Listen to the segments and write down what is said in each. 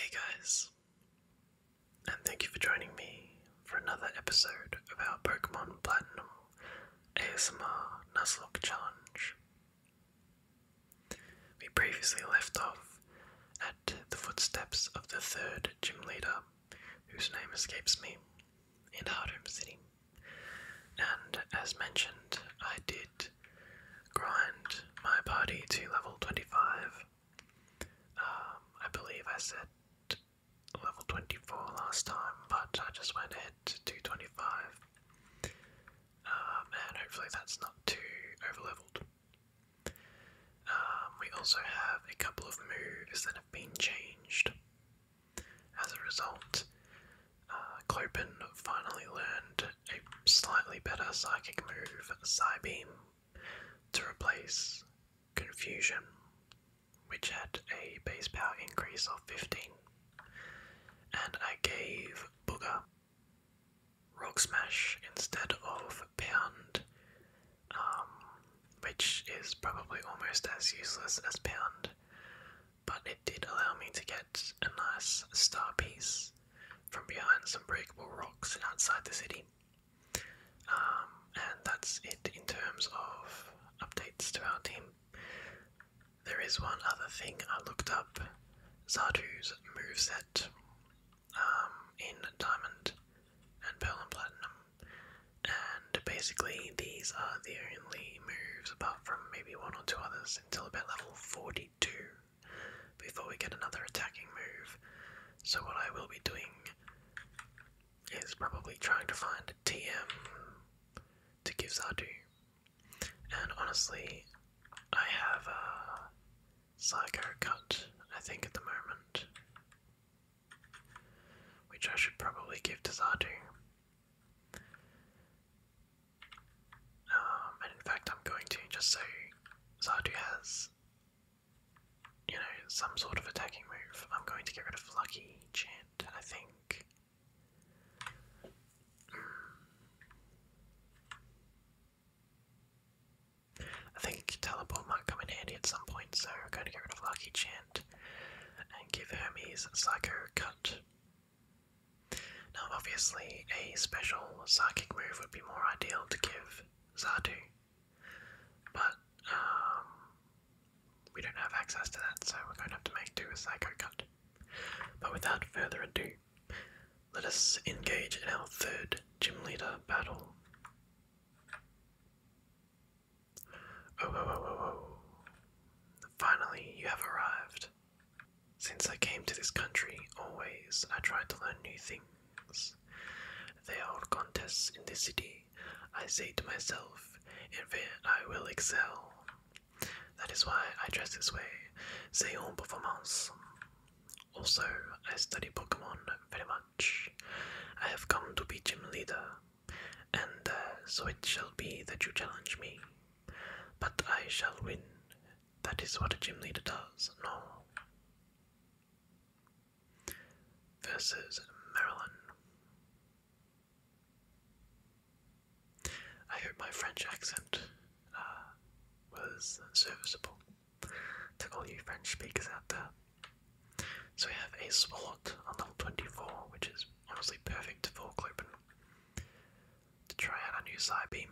Hey guys, and thank you for joining me for another episode of our Pokemon Platinum ASMR Nuzlocke Challenge. We previously left off at the footsteps of the third gym leader, whose name escapes me, in Hardhome City. And as mentioned, I did grind my party to level 25. Um, I believe I said level 24 last time, but I just went ahead to 25. Um, and hopefully that's not too overleveled. Um, we also have a couple of moves that have been changed. As a result, uh, Clopin finally learned a slightly better psychic move, Psybeam, to replace Confusion, which had a base power increase of 15. And I gave Booger Rock Smash instead of Pound, um, which is probably almost as useless as Pound, but it did allow me to get a nice star piece from behind some breakable rocks outside the city. Um, and that's it in terms of updates to our team. There is one other thing I looked up Zadu's set um, in diamond and pearl and platinum. And basically, these are the only moves, apart from maybe one or two others, until about level 42 before we get another attacking move. So, what I will be doing is probably trying to find a TM to give Zardu. And honestly, I have uh, Psycho Cut, I think, at the moment. Which I should probably give to Zardu. Um, and in fact, I'm going to just so Zardu has, you know, some sort of attacking move. I'm going to get rid of Lucky Chant, I think. I think Teleport might come in handy at some point, so we're going to get rid of Lucky Chant and give Hermes Psycho Cut. Now, obviously, a special psychic move would be more ideal to give Zatu, but um, we don't have access to that, so we're going to have to make do with Psycho Cut. But without further ado, let us engage in our third gym leader battle. Oh, oh, oh, oh, Finally, you have arrived. Since I came to this country, always I tried to learn new things. There are contests in the city, I say to myself, and there I will excel. That is why I dress this way, c'est en performance. Also, I study Pokemon very much. I have come to be gym leader, and uh, so it shall be that you challenge me. But I shall win. That is what a gym leader does, no? Versus Marilyn. I hope my French accent uh, was serviceable to all you French speakers out there. So we have a Swallot on level 24, which is honestly perfect for Clopen to try out a new side beam.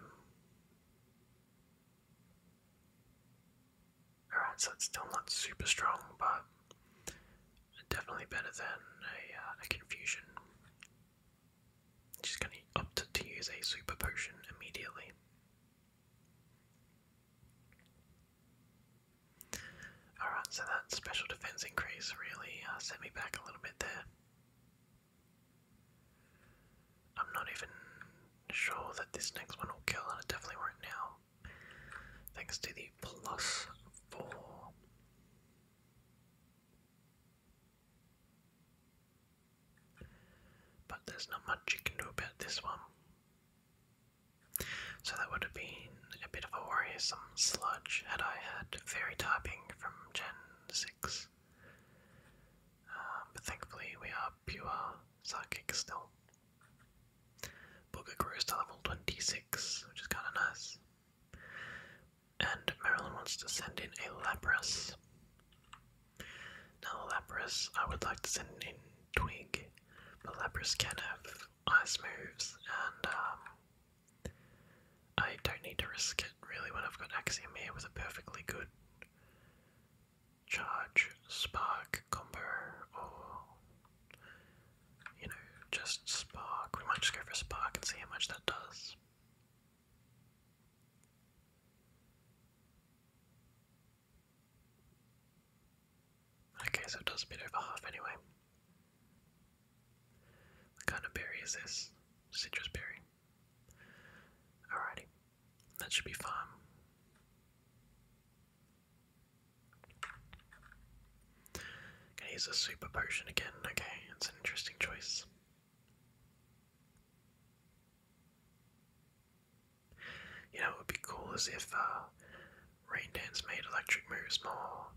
Alright, so it's still not super strong, but definitely better than a, uh, Confusion. She's going to opt to use a super potion immediately. Alright, so that special defense increase really uh, sent me back a little bit there. I'm not even sure that this next one will kill, and it definitely won't now. Thanks to the plus four. But there's not much you can do about this one. So that would have been a bit of a worrisome sludge had I had fairy typing from Gen 6. Um, but thankfully we are pure psychic still. Booger grows to level 26, which is kinda nice. And Marilyn wants to send in a Lapras. Now, Lapras, I would like to send in Twig, but Lapras can have ice moves, and um, I don't need to risk it really when I've got Axiom here with a perfectly good charge spark combo, or you know, just spark. We might just go for spark and see how much that does. Okay, so it does spit over half anyway. What kind of berry is this? Citrus berry. Alrighty, that should be fine. Gonna use a super potion again. Okay, it's an interesting choice. You know, it would be cool as if uh, rain dance made electric moves more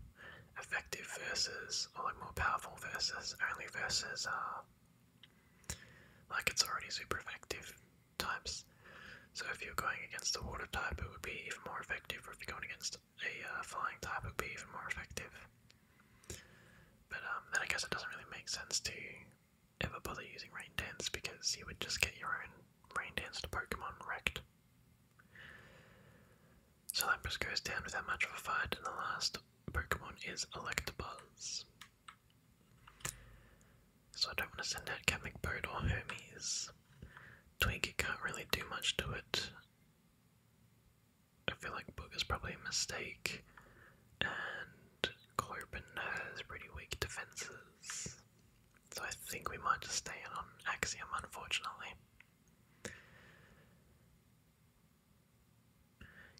effective versus, or like more powerful versus, only versus, uh, like it's already super effective types. So if you're going against the water type, it would be even more effective, if you're going against a uh, flying type, it would be even more effective. But um, then I guess it doesn't really make sense to ever bother using rain dance because you would just get your own rain danced Pokemon wrecked. So Lapras goes down without much of a fight, and the last Pokemon is Electabuzz. So I don't want to send out Catmacbode or Hermes. Twinkie can't really do much to it. I feel like Book is probably a mistake, and Clopen has pretty weak defenses, so I think we might just stay in on Axiom, unfortunately.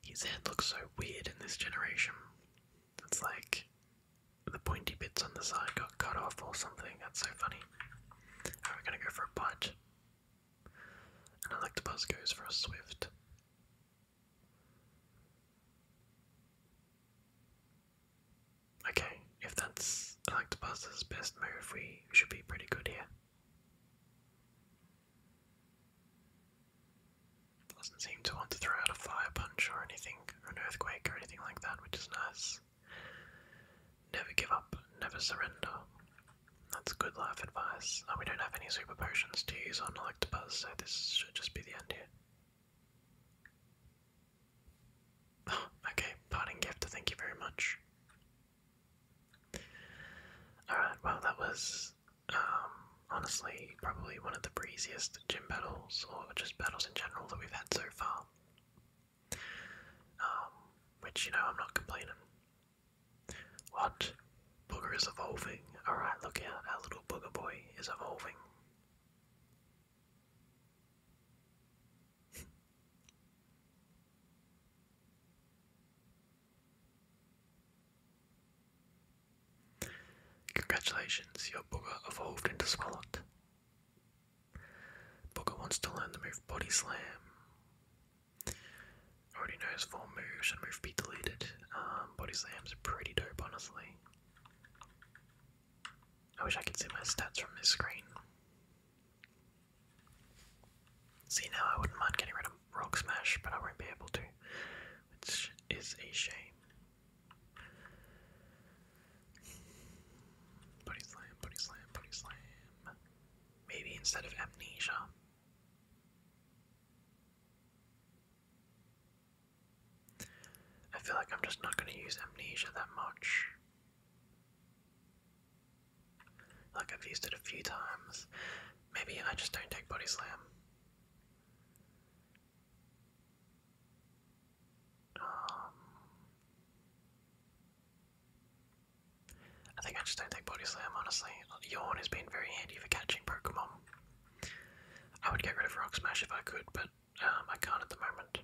His head looks so weird in this generation. It's like the pointy bits on the side got cut off or something. That's so funny. Alright, we gonna go for a bite. And Electabuzz goes for a swift. Okay, if that's Electabuzz' best move, we should be pretty good here. Doesn't seem to want to throw out a fire punch or anything, or an earthquake or anything like that, which is nice. Never give up, never surrender. That's good life advice. Oh, we don't have any super potions to use on so this should just be the end here. okay, parting gift, thank you very much. Alright, well, that was um, honestly probably one of the breeziest gym battles, or just battles in general, that we've had so far. Um, which, you know, I'm not complaining. What? Booger is evolving. Alright, look out. Our little booger boy is evolving. Congratulations, your booger evolved into Squalot. Booger wants to learn the move Body Slam already knows four move, should move be deleted. Um, body slam's pretty dope, honestly. I wish I could see my stats from this screen. See, now I wouldn't mind getting rid of Rock Smash, but I won't be able to, which is a shame. Body slam, body slam, body slam. Maybe instead of amnesia. I feel like I'm just not going to use amnesia that much. Like, I've used it a few times. Maybe I just don't take body slam. Um, I think I just don't take body slam, honestly. Yawn has been very handy for catching Pokemon. I would get rid of Rock Smash if I could, but um, I can't at the moment.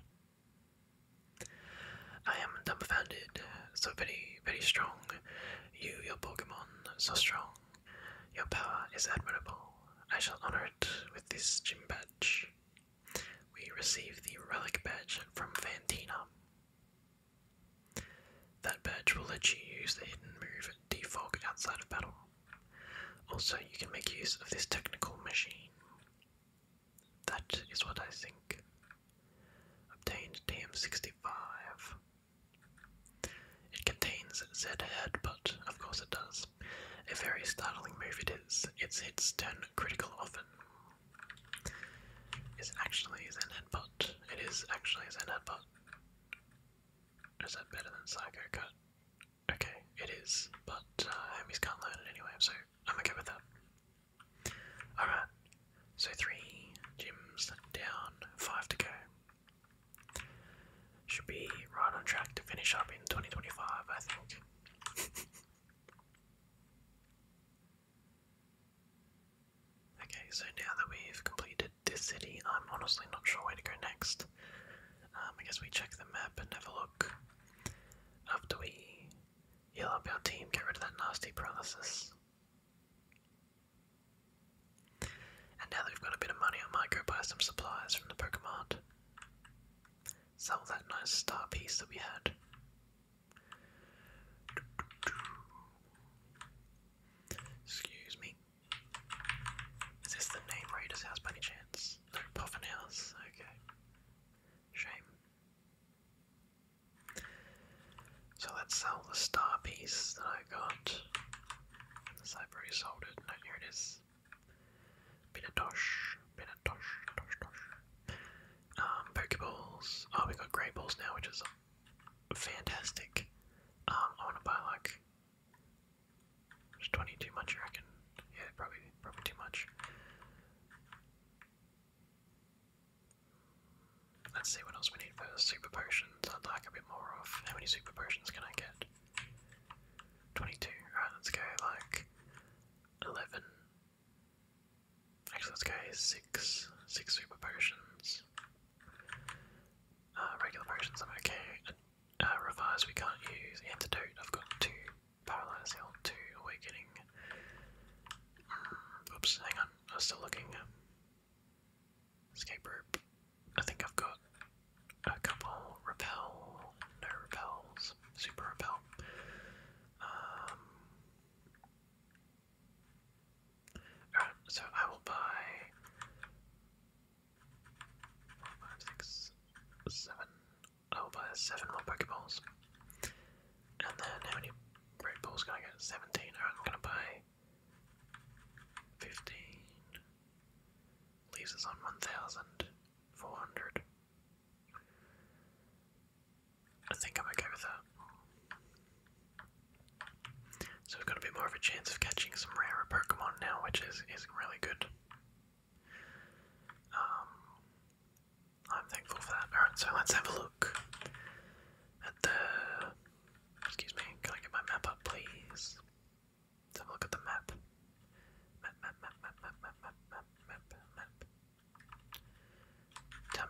I am dumbfounded, so very, very strong. You, your Pokemon, so strong. Your power is admirable. I shall honor it with this gym badge. We receive the relic badge from Fantina. That badge will let you use the hidden move Defog outside of battle. Also, you can make use of this technical machine. That is what I think. Obtained TM65. It contains Z Headbutt, of course it does. A very startling move it is. Its hits turn critical often. Is actually Zen Headbutt. It is actually Zen Headbutt. Is that better than Psycho Cut? Okay, it is, but uh, homies can't learn it anyway, so I'm okay with that. Alright, so three gyms down, five to go. Should be right on track to finish up in 2025, I think. Okay, so now that we've completed this city, I'm honestly not sure where to go next. Um, I guess we check the map and have a look. After we yell up our team, get rid of that nasty paralysis. And now that we've got a bit of money, I might go buy some supplies from the Pokemon. Sell that nice star piece that we had. Excuse me. Is this the name Raider's house any chance? No, Puffin House. Okay. Shame. So let's sell the star piece that I got. Since sold it. No, here it is. Bit of tosh. Bit of tosh. Um, Pokeballs. Oh, we got Grey Balls now, which is fantastic. Um, I want to buy like. There's 20 too much, I reckon. Yeah, probably, probably too much. Let's see what else we need for super potions. I'd like a bit more of. How many super potions can I get? 22. Alright, let's go like 11. Actually, let's go 6. 6 super potions. Uh, regular potions I'm okay. And, uh, revise we can't use. Antidote I've got two. Paralyze heal, two. Awakening. Hmm, oops, hang on. I was still looking. Escape I think I've got a couple. Repel. No repels. Super repel. Um, Alright, so I will buy four, five, six, seven. I will buy seven more Pokeballs. And then how many Red Balls can I get? Seventeen. Alright, I'm gonna buy fifteen. Leaves us on one thousand four hundred. I think I'm okay with that. So we've got a bit more of a chance of catching some rarer Pokemon now, which is is really good. Um, I'm thankful for that. Alright, so let's have a look at the. Excuse me, can I get my map up, please? Let's have a look at the map. Map, map, map, map, map, map, map, map, map, map. Down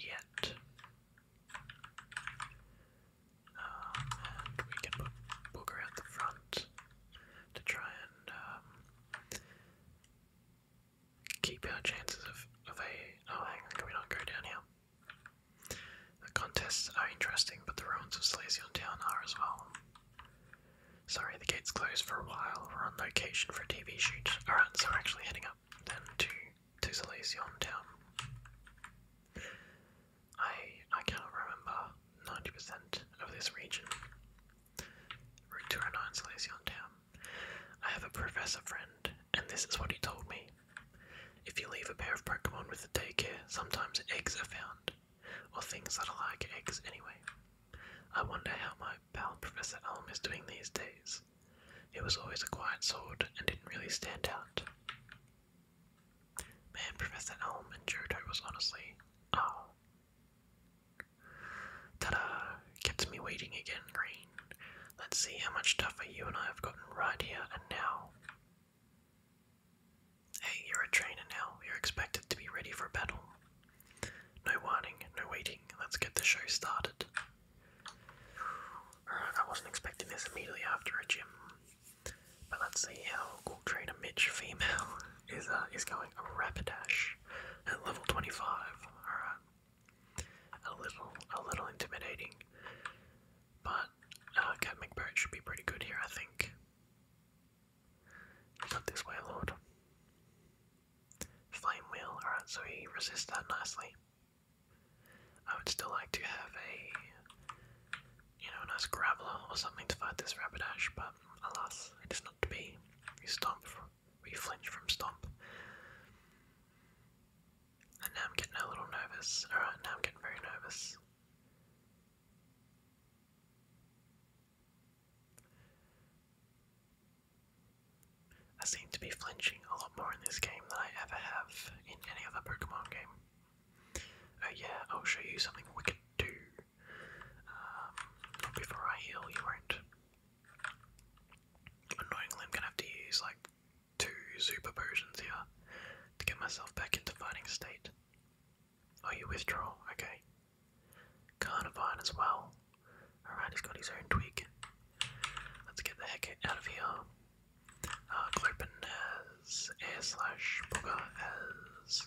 yet. Um, and we can put Booger at the front to try and um, keep our chances of, of a. Oh, hang on, can we not go down here? The contests are interesting, but the ruins of Slazion Town are as well. Sorry, the gate's closed for a while. We're on location for a TV shoot. Alright, so we're actually heading up and to to Salesian town. I I cannot remember ninety percent of this region. Route two hundred oh nine, Salesian town. I have a professor friend, and this is what he told me. If you leave a pair of Pokemon with the daycare, sometimes eggs are found, or things that are like eggs anyway. I wonder how my my Professor Elm is doing these days. It was always a quiet sword and didn't really stand out. Man, Professor Elm and Jodo was honestly, oh. Ta-da! me waiting again, Green. Let's see how much tougher you and I have gotten right here and now. Hey, you're a trainer now. You're expected to be ready for battle. No whining, no waiting. Let's get the show started. Alright, I wasn't expecting this immediately after a gym. But let's see how cool trainer Mitch female is uh, is going a rapidash at level 25. Alright. A little a little intimidating. But Cat uh, McBird should be pretty good here, I think. You this way, Lord. Flame wheel, alright, so he resists that nicely. I would still like to have a, you know, a nice Graveler or something to fight this Rapidash, but alas, it is not to be. We stomp, we flinch from stomp. And now I'm getting a little nervous. Alright, now I'm getting very nervous. I seem to be flinching a lot more in this game than I ever have in any other Pokemon game. Oh yeah, I'll show you something we can do. Um, before I heal, you Annoyingly, I'm gonna have to use like two super potions here to get myself back into fighting state. Oh, you withdraw? Okay. Carnivine as well. Alright, he's got his own tweak. Let's get the heck out of here. Uh, has air slash Booger has.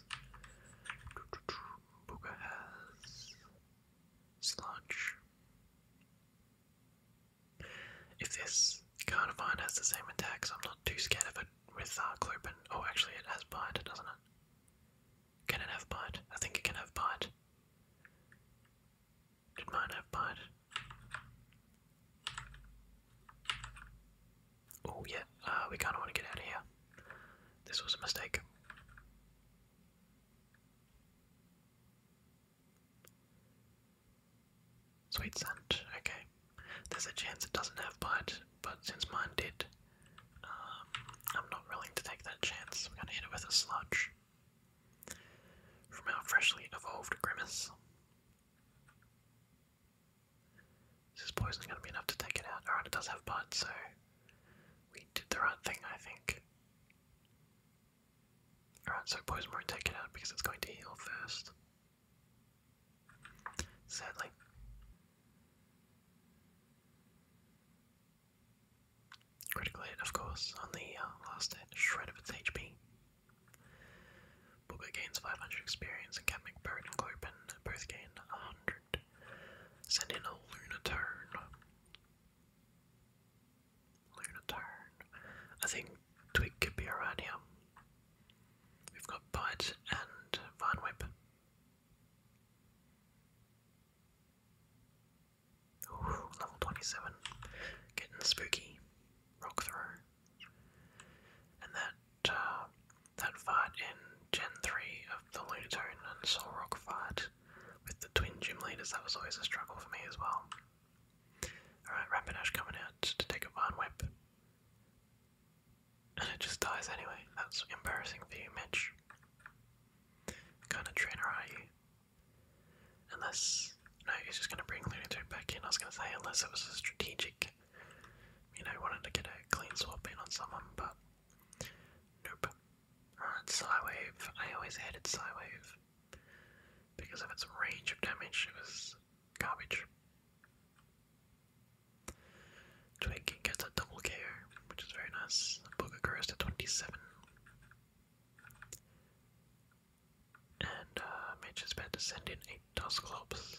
Booger has. Sludge. If this Carnivine has the same attacks, I'm not too scared of it with uh, Oh, actually, it has Bite, doesn't it? Can it have bite? I think it can have bite. Did mine have bite? Oh yeah, uh, we kind of want to get out of here. This was a mistake. Sweet scent, okay. There's a chance it doesn't have bite, but since mine did, um, I'm not willing to take that chance. I'm gonna hit it with a sludge. From our freshly evolved Grimace. Is this poison going to be enough to take it out? Alright, it does have buds, so we did the right thing, I think. Alright, so poison won't take it out because it's going to heal first. Sadly. Critical hit, of course, on the uh, last shred of its HP. Booker gains 500 experience, and Catmic Bird and Clopen both gain 100. Send in a Lunatone. Lunatone. I think Twig could be around here. We've got Bite and Vine Whip level 27. Getting spooky. Rock throw. And that, uh, that fight in Gen 3 of the Lunatone and Soul fight with the twin gym leaders, that was always a struggle for me as well. Alright, Rapidash coming out to take a Vine Whip. And it just dies anyway. That's embarrassing for you, Mitch. kind of trainer are you? Unless, no, he's just going to bring Lunato back in. I was going to say, unless it was a strategic, you know, wanted to get a clean swap in on someone, but nope. Alright, Psywave. I always hated Psywave because of its range of damage, it was garbage. Twig gets a double KO, which is very nice. Booger grows to 27. And uh, Mitch is about to send in eight Dusclops.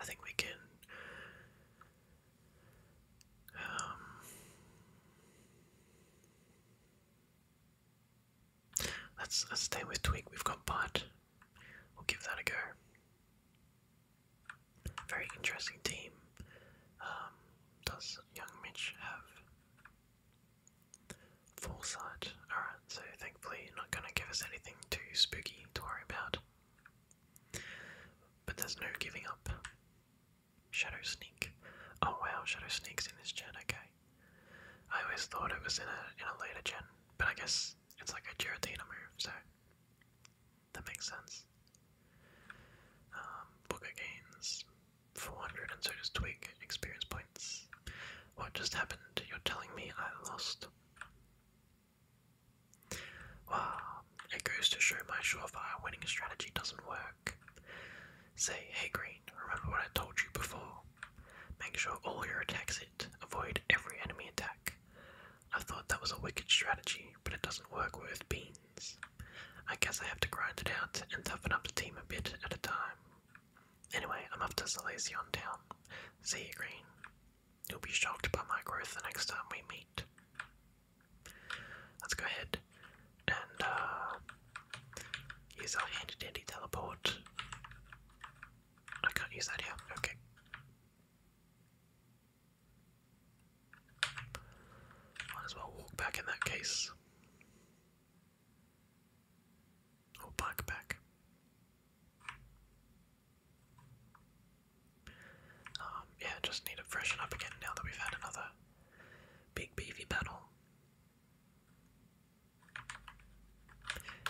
I think we can. Um, let's let's stay with Twig. We've got Bud. We'll give that a go. Very interesting team. Um, does young Mitch have foresight? Alright, so thankfully not gonna give us anything too spooky to worry about. But there's no giving up. Shadow Sneak. Oh wow, Shadow Sneak's in this gen, okay. I always thought it was in a in a later gen, but I guess it's like a Giratina move, so that makes sense. Um, Booker gains 400 and so does Twig experience points. What just happened? You're telling me I lost? Wow, it goes to show my surefire winning strategy doesn't work. Say, hey Green, remember what I told you before? Make sure all your attacks hit, avoid every enemy attack. I thought that was a wicked strategy, but it doesn't work worth being. I guess I have to grind it out and toughen up the team a bit at a time. Anyway, I'm off to Salazion Town. See you, Green. You'll be shocked by my growth the next time we meet. Let's go ahead and uh, use our handy dandy teleport. I can't use that here. Okay. Might as well walk back in that case. Or bike back. Um, yeah, just need to freshen up again now that we've had another big beefy battle.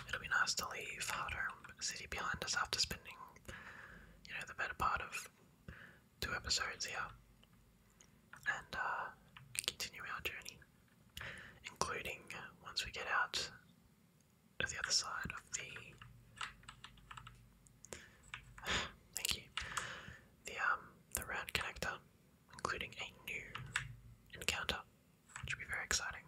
It'll be nice to leave Hardhome City behind us after spending, you know, the better part of two episodes here and uh, continue our journey, including uh, once we get out to the other side of the. Thank you. The um the round connector, including a new encounter, which will be very exciting.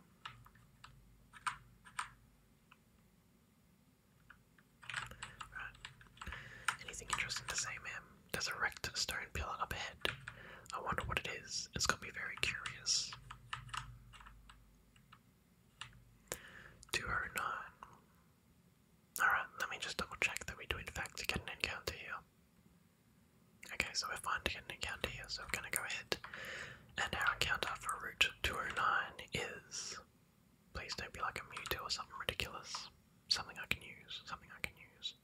Anything interesting to say, ma'am? There's a wrecked stone pillar up ahead. I wonder what it is. its gonna be very curious. 209. Alright, let me just double check that we do in fact get an encounter here. Okay, so we're fine to get an encounter here, so we're gonna go ahead. And our encounter for Route 209 is Please don't be like a Mewtwo or something ridiculous. Something I can use. Something I can use.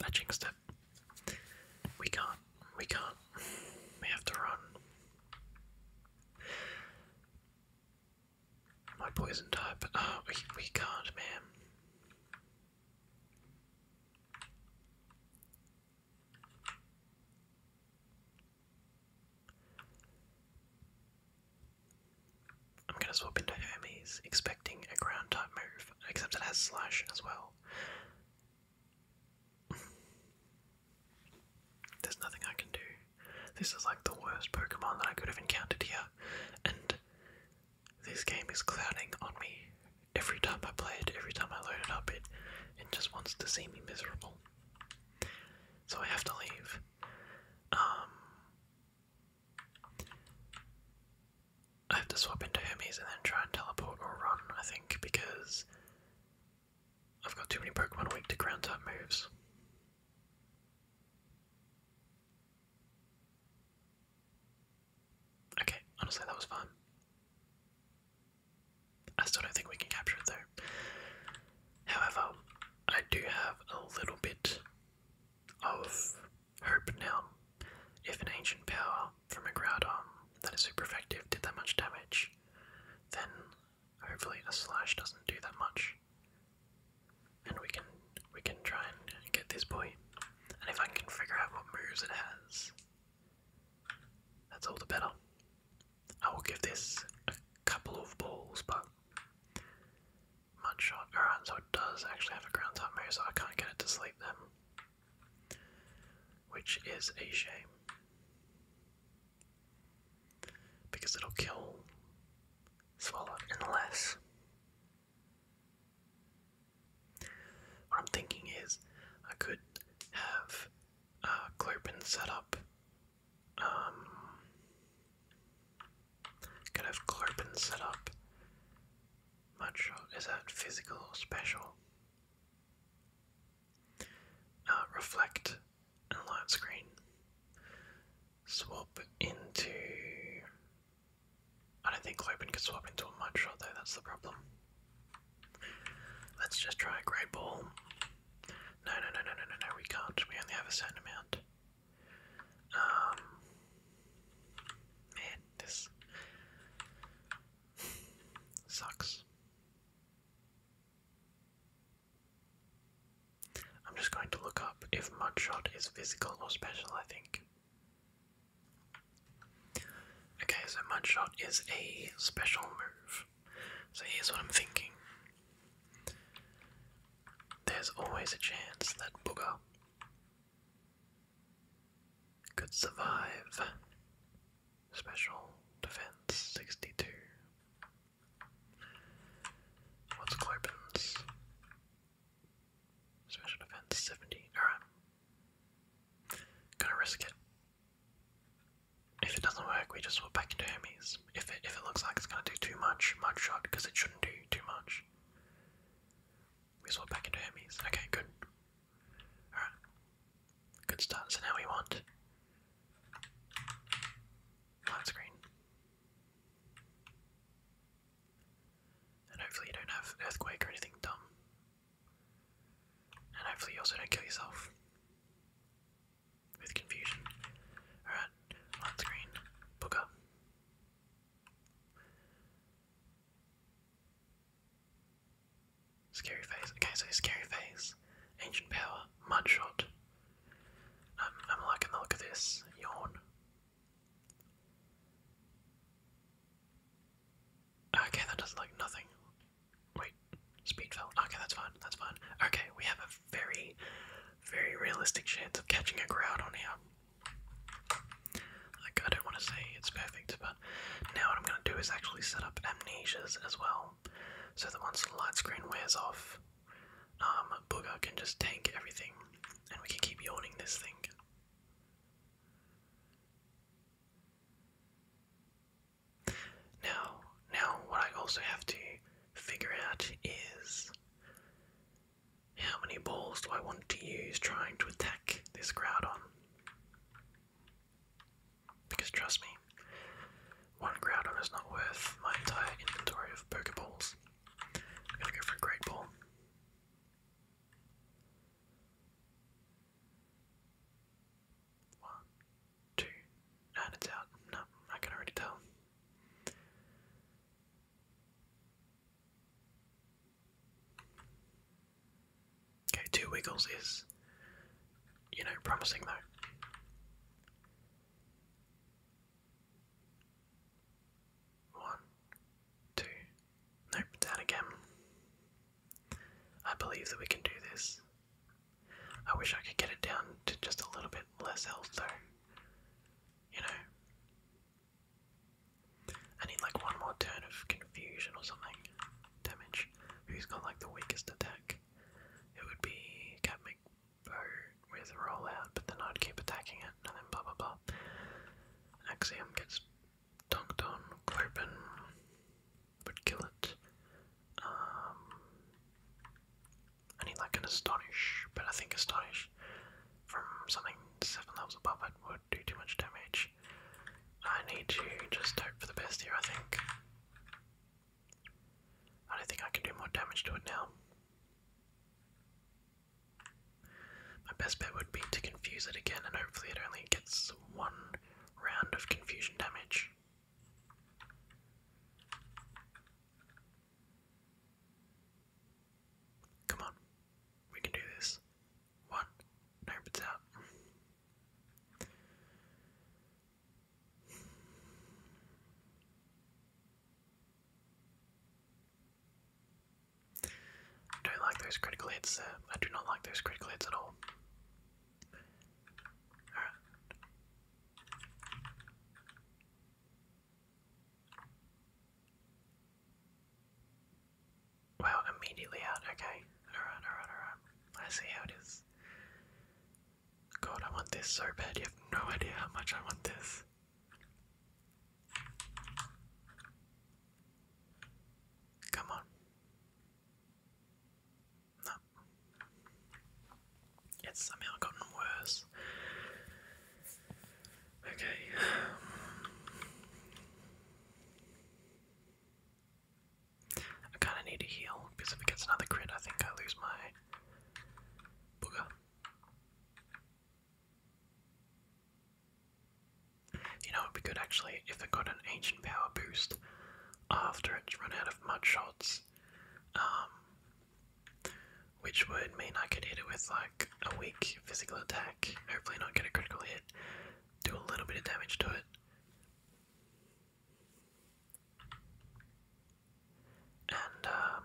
That jinxed We can't. We can't. We have to run. My poison type. Oh, we, we can't, man. I'm gonna swap into Hermes, expecting a ground type move, except it has slash as well. There's nothing I can do. This is like the worst Pokemon that I could have encountered here, and this game is clouding on me every time I play it, every time I load it up, it it just wants to see me miserable. So I have to leave. Um, I have to swap into Hermes and then try and teleport or run, I think, because I've got too many Pokemon weak to ground type moves. Okay, honestly, that was fun. I still don't think we can capture it though. However, I do have a little bit of hope now. If an ancient power from a Groudon that is super effective did that much damage, then hopefully a slash doesn't do that much. And we can we can try and get this boy. And if I can figure out what moves it has, that's all the better. I will give this a couple of balls, but mud shot. Alright, so it does actually have a ground type move, so I can't get it to sleep them. Which is a shame. Because it'll kill Swallow unless what I'm thinking is, I could have uh, Clopin set up. Um, could have Clopin set up. Much is that physical or special? Uh, reflect and light screen. Swap into. I don't think Clopin could swap into a much shot though, that's the problem. Let's just try a great ball. No, no, no, no, no, no, we can't. We only have a certain amount. Um, man, this sucks. I'm just going to look up if mudshot is physical or special, I think. Okay, so Mudshot is a special move. So here's what I'm thinking. There's always a chance that Booger could survive Special Defense 62. What's Clopin's? Special Defense 70. Alright. Gonna risk it. If it doesn't work, we just swap back into Hermes. If it if it looks like it's gonna do too much, mud shot, because it shouldn't do too much. We swap back into Hermes. Okay, good. Alright. Good start. So now we want light screen. And hopefully you don't have earthquake or anything dumb. And hopefully you also don't kill yourself with confusion. Alright, on screen, Booker. Scary face. Okay, so scary face, ancient power, mudshot. Um, I'm liking the look of this. Yawn. Okay, that does not look nothing. Wait, speed fell. Okay, that's fine. That's fine. Okay, we have a very, very realistic chance of catching a crowd on here. Like, I don't want to say it's perfect, but now what I'm going to do is actually set up amnesias as well, so that once the light screen wears off, um, Booger can just tank everything, and we can keep yawning this thing. Now, now what I also have to figure out is how many balls do I want to use trying to attack this Groudon? Because trust me, one Groudon is not worth my entire inventory of Pokeballs. I'm gonna go for a Great Ball. One, two, and it's out. No, I can already tell. Okay, two wiggles is, you know, promising though. One, two. Nope, down again. I believe that we can do this. I wish I could get it down to just a little bit less health though. You know? I need like one more turn of confusion or something. Damage. Who's got like the weakest attack? It would be Cat McBow with rollout, but then I'd keep attacking it and blah blah blah. Axiom gets Tongton Clerpen would kill it. Um, I need like an Astonish, but I think Astonish from something 7 levels above it would do too much damage. I need to just hope for the best here, I think. I don't think I can do more damage to it now. My best bet would be to confuse it again and hopefully it only gets one round of confusion damage. Come on, we can do this. One, nope, out. I don't like those critical hits I do not like those critical hits at all. Alright. immediately out. Okay. Alright, alright, alright. I see how it is. God, I want this so bad. You have no idea how much I want this. Come on. No. It's somehow gotten worse. Okay. I kind of need to heal because if it gets another crit, I think I lose my booger. You know, it'd be good actually if it got an ancient power boost after it's run out of mud shots. Um, which would mean I could hit it with like a weak physical attack, hopefully not get a critical hit, do a little bit of damage to it. And um,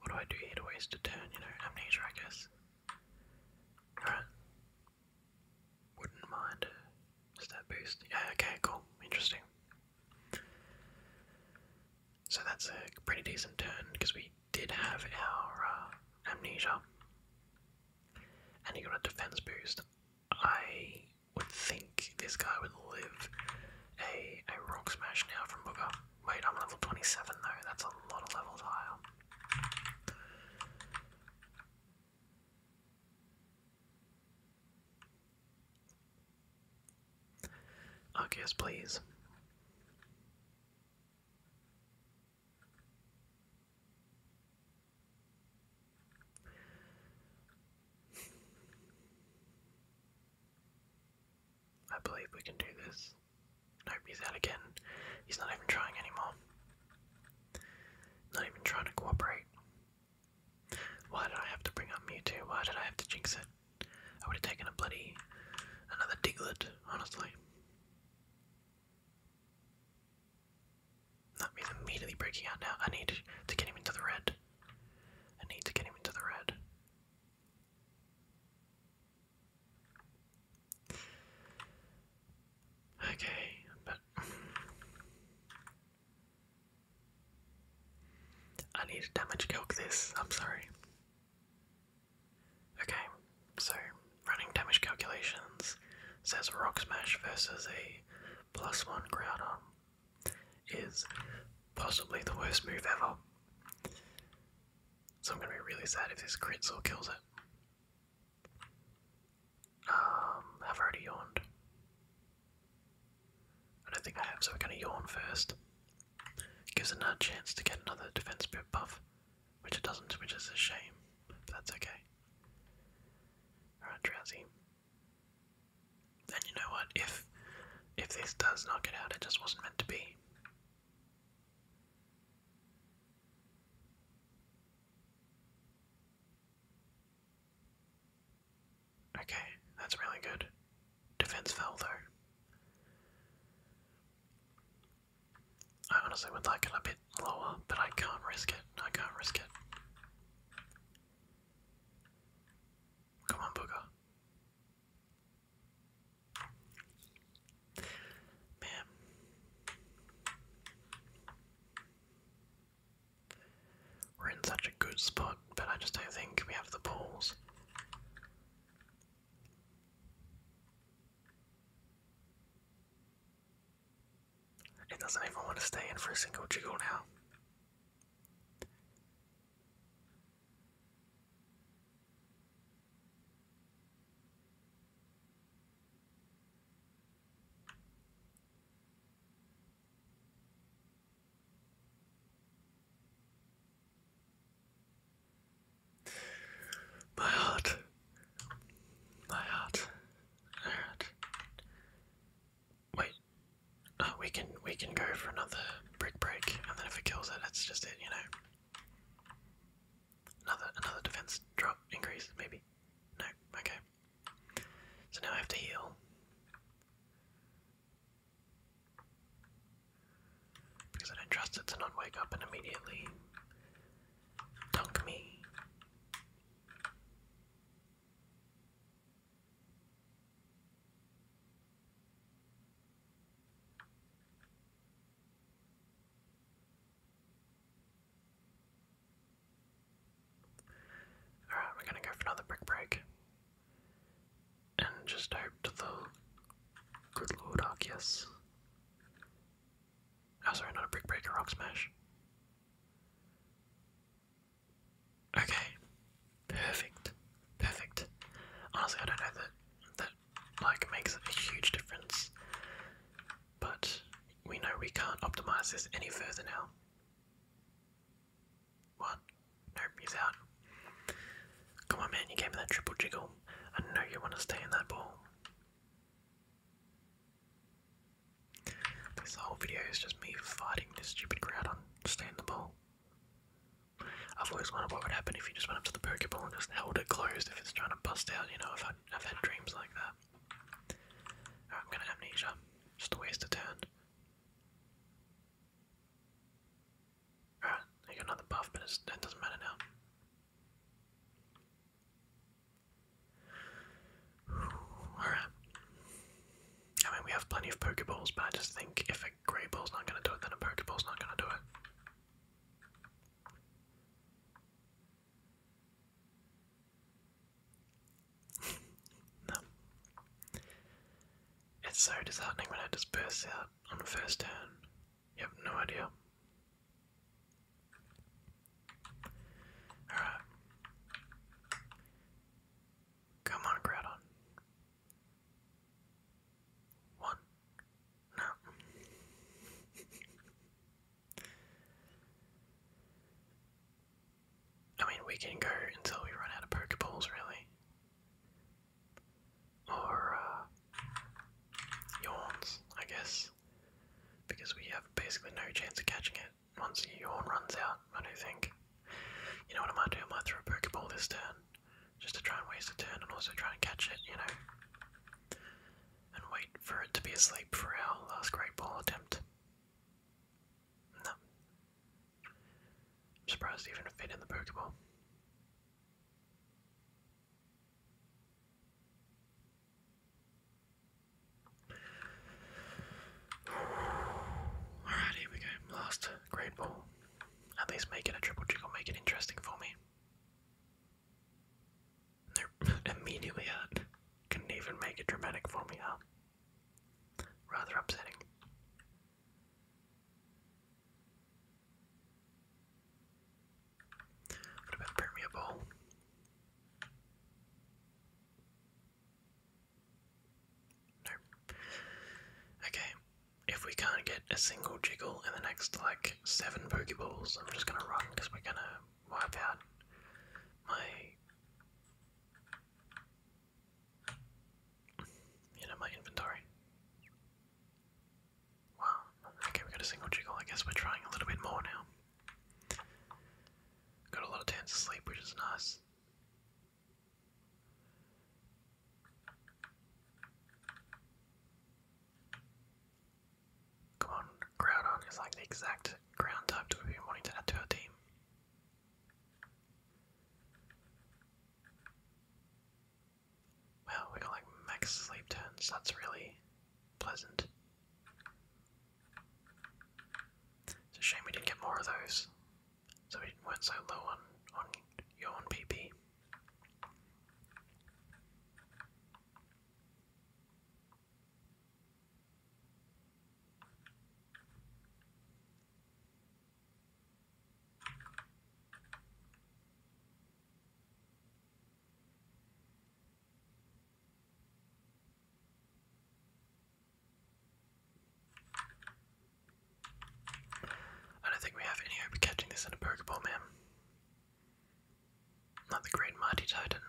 what do I do here to waste a turn? You know, amnesia, I guess. Alright. Wouldn't mind a stat boost. Yeah, okay, cool. Interesting. So that's a pretty decent turn because we did have our uh, amnesia. And he got a defense boost. I would think this guy would live a, a rock smash now from Booker. Wait, I'm level 27 though, that's a lot of levels higher. Arceus, please. I believe we can do this. Nope, he's out again. He's not even trying anymore. Not even trying to cooperate. Why did I have to bring up Mewtwo? Why did I have to jinx it? I would have taken a bloody. another Diglett, honestly. That means immediately breaking out now. I need to get him into the red. I need to get him into the red. Okay, but I need to damage calc this, I'm sorry. Okay, so running damage calculations says Rock Smash versus a plus one ground on is possibly the worst move ever. So I'm gonna be really sad if this crits or kills it. Um, I've already yawned. I don't think I have, so we're gonna yawn first. Gives another chance to get another defense buff, which it doesn't, which is a shame, but that's okay. Alright, drowsy. And you know what? If if this does knock it out, it just wasn't meant to be. Okay, that's really good. Defense fell though. I honestly would like it a bit lower, but I can't risk it. I can't risk it. Come on, Booger. Man. We're in such a good spot, but I just don't think we have the balls. It doesn't even want to stay in for a single jiggle now. My heart. My heart. Alright. Wait. Oh, we can we can go for another break break, and then if it kills it, that's just it, you know. Another another defense drop increase, maybe. No, okay. So now I have to heal. Because I don't trust it to not wake up and immediately dunk me. Alright, we're gonna go for another brick break. And just hope the good lord Arceus. Oh sorry, not a brick break, a rock smash. Okay. Perfect. Perfect. Honestly, I don't know that that like makes a huge difference. But we know we can't optimize this any further now. What? Nope, he's out. Come on man, you gave me that triple jiggle. I know you want to stay in that ball. This whole video is just me fighting this stupid crowd on staying the ball. I've always wondered what would happen if you just went up to the Pokeball and just held it closed if it's trying to bust out, you know, I've I've had dreams like that. I'm gonna amnesia. Just a waste of time. Alright, another buff, but it doesn't matter now. Alright. I mean, we have plenty of Pokeballs, but I just think if a Grey Ball's not going to do it, then a Pokeball's not going to do it. no. It's so disheartening when it disperses out on the first turn. You have no idea Alright. Come on, Groudon. One. No. I mean, we can go until we run out of Pokeballs, really. Or, uh, yawns, I guess because we have basically no chance of catching it once Yawn runs out, I don't think. You know what I might do? I might throw a Pokeball this turn, just to try and waste a turn and also try and catch it, you know? And wait for it to be asleep for our last Great Ball attempt. No. I'm surprised even fit in the Pokeball. Alright, here we go. Last great ball. At least make it a triple jig make it interesting for me. Nope. Immediately at. can not even make it dramatic for me, huh? Rather upsetting. What about Premier Ball? Okay, if we can't get a single jiggle in the next like seven Pokeballs, I'm just gonna run because we're gonna wipe out my. You know, my inventory. Wow, okay, we got a single jiggle. I guess we're trying a little bit more now. Got a lot of turns to sleep, which is nice. Come on, Groudon is like the exact ground type that we've to add to our team. Wow, we got like max sleep turns, that's really pleasant. It's a shame we didn't get more of those, so we went so low on on own PP. I don't think we have any hope of catching this in a Pokeball, man. Not the Great Mighty Titan.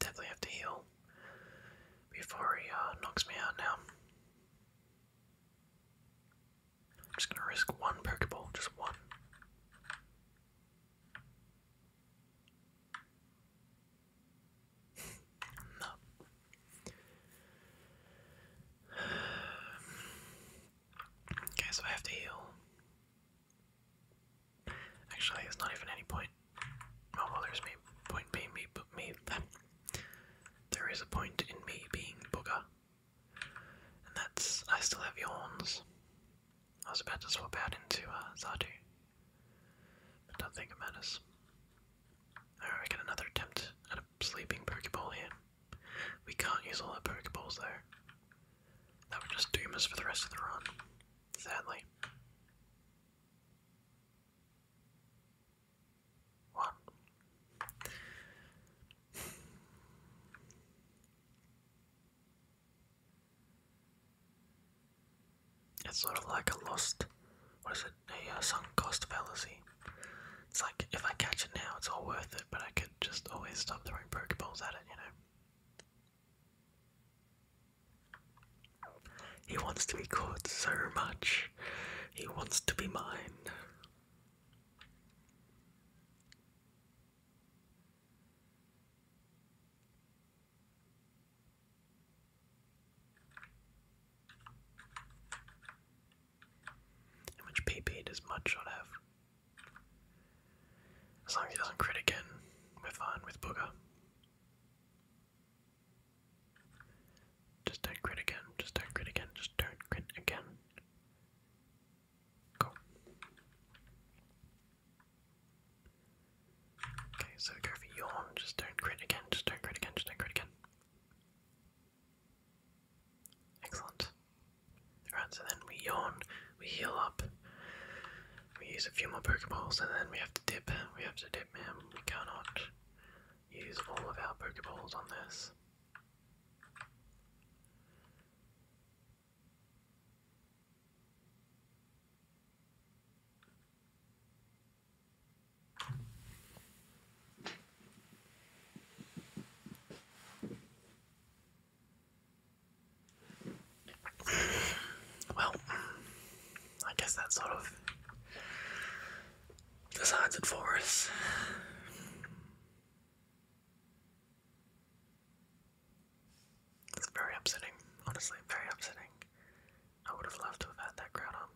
Definitely have to heal before he uh, knocks me out now. I'm just gonna risk one Pokeball, just one. no. Okay, so I have to heal. Actually, there's not even any point. Oh well, there's me. Point B, me, but me, there is a point in me being booger. And that's. I still have yawns. I was about to swap out into uh, Zardu. But don't think it matters. I we get another attempt at a sleeping Pokeball here. We can't use all our Pokeballs though. That would just doom us for the rest of the run. Sadly. It's sort of like a lost, what is it, a uh, sunk cost fallacy. It's like, if I catch it now, it's all worth it, but I could just always stop throwing Pokeballs at it, you know? He wants to be caught so much he wants to be mine. How much PP does Mudshot have? As long as he doesn't crit again, we're fine with Booger. Just don't crit again, just don't crit again, just don't crit again. Cool. Okay, so go for yawn, just don't crit again, just don't crit again, just don't crit again. Excellent. Alright, so then we yawn, we heal up, we use a few more Pokeballs, and then we have to dip. We have to dip, man. We cannot use all of our Pokeballs on this. well, I guess that sort of decides it for It's very upsetting, honestly, very upsetting. I would have loved to have had that crowd on.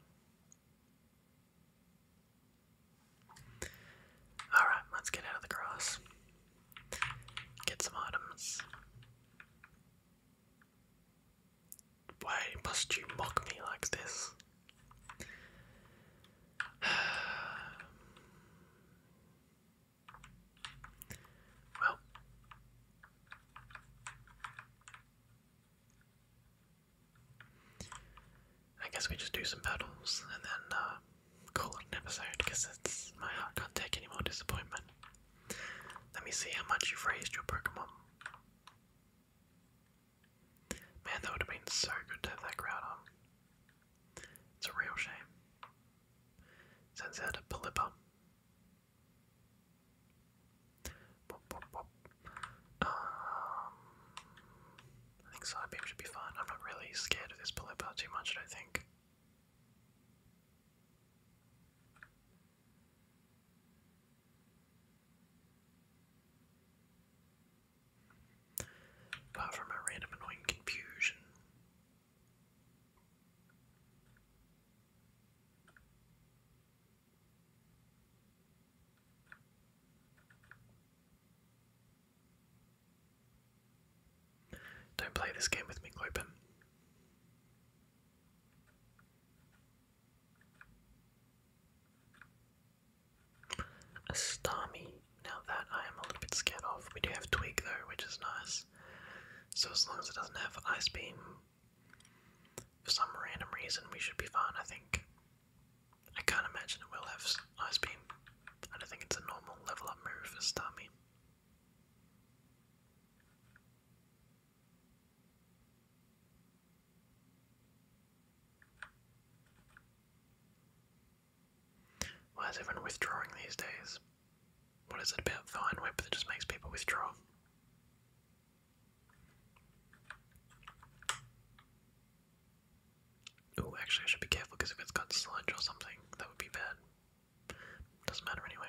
Alright, let's get out of the grass. Get some items. Why must you mock me like this? well, I guess we just do some battles and then uh, call it an episode because my heart can't take any more disappointment. Let me see how much you've raised your Pokemon. Man, that would have been so good to have that crowd on. It's a real shame. Sends out a Pelipper. Um, I think Side Beam should be fine. I'm not really scared of this Pelipper too much, I don't think. Apart from a random annoying confusion. Don't play this game with me, Clopin. Astami. Now that I am a little bit scared of. We do have Twig though, which is nice. So as long as it doesn't have Ice Beam, for some random reason, we should be fine, I think. I can't imagine it will have Ice Beam. I don't think it's a normal level up move for Starmie. Why is everyone withdrawing these days? What is it about Vine Web that just makes people withdraw? Oh, actually, I should be careful because if it's got sludge or something, that would be bad. Doesn't matter anyway.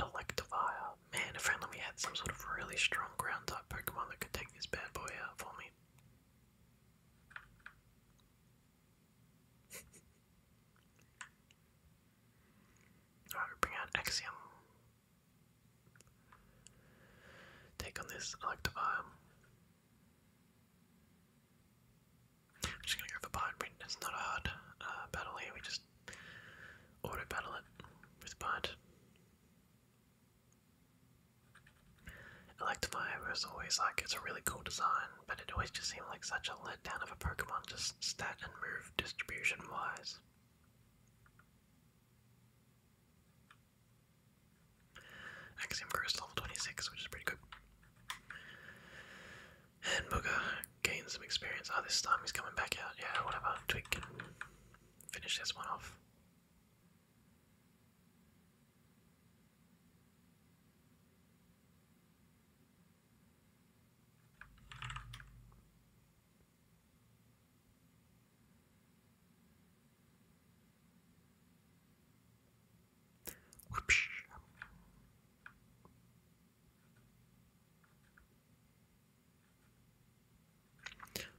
Electivire. Man, if we had some sort of really strong ground type Pokemon that could take this bad boy out for me. Alright, bring out Axiom. Take on this Electivire. I'm just gonna go for Bind It's not a hard uh, battle here, we just auto battle it with Bind. Electivire was always like, it's a really cool design, but it always just seemed like such a letdown of a Pokemon, just stat and move distribution wise. Axiom Crystal 26, which is pretty good. And Booger gains some experience. Oh, this time he's coming back out. Yeah, whatever. Twig can finish this one off.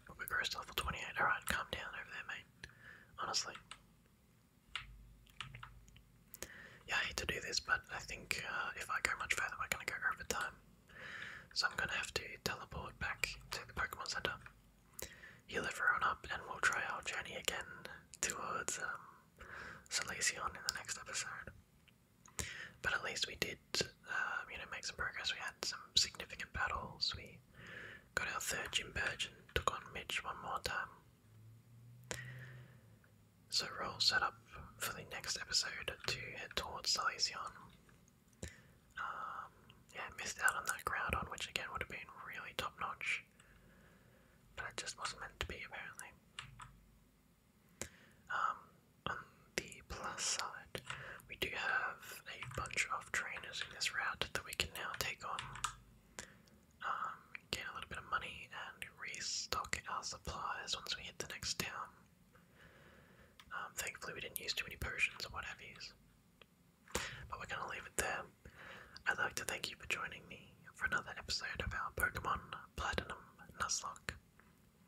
We'll progress to level 28. Alright, calm down over there, mate. Honestly. Yeah, I hate to do this, but I think uh, if I go much further, we're going to go over time. So I'm going to have to teleport back to the Pokemon Center, You'll heal everyone up, and we'll try our journey again towards um, Salacion in the next episode. But at least we did, um, you know, make some progress. We had some significant battles. We got our third gym badge and took on Mitch one more time. So roll set up for the next episode to head towards Silesion. Um, yeah, missed out on that crowd on, which again would have been really top notch. English. But it just wasn't meant to be, apparently. Um, on the plus side, we do have a bunch of trainers in this route that we can now take on, um, a little bit of money, and restock our supplies once we hit the next town. Um, thankfully, we didn't use too many potions or what But we're gonna leave it there. I'd like to thank you for joining me for another episode of our Pokemon Platinum Nuzlocke.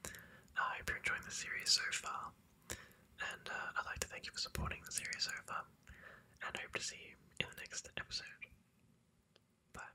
I hope you're enjoying the series so far, and uh, I'd like to thank you for supporting the series so far, and hope to see you in the next episode. Bye.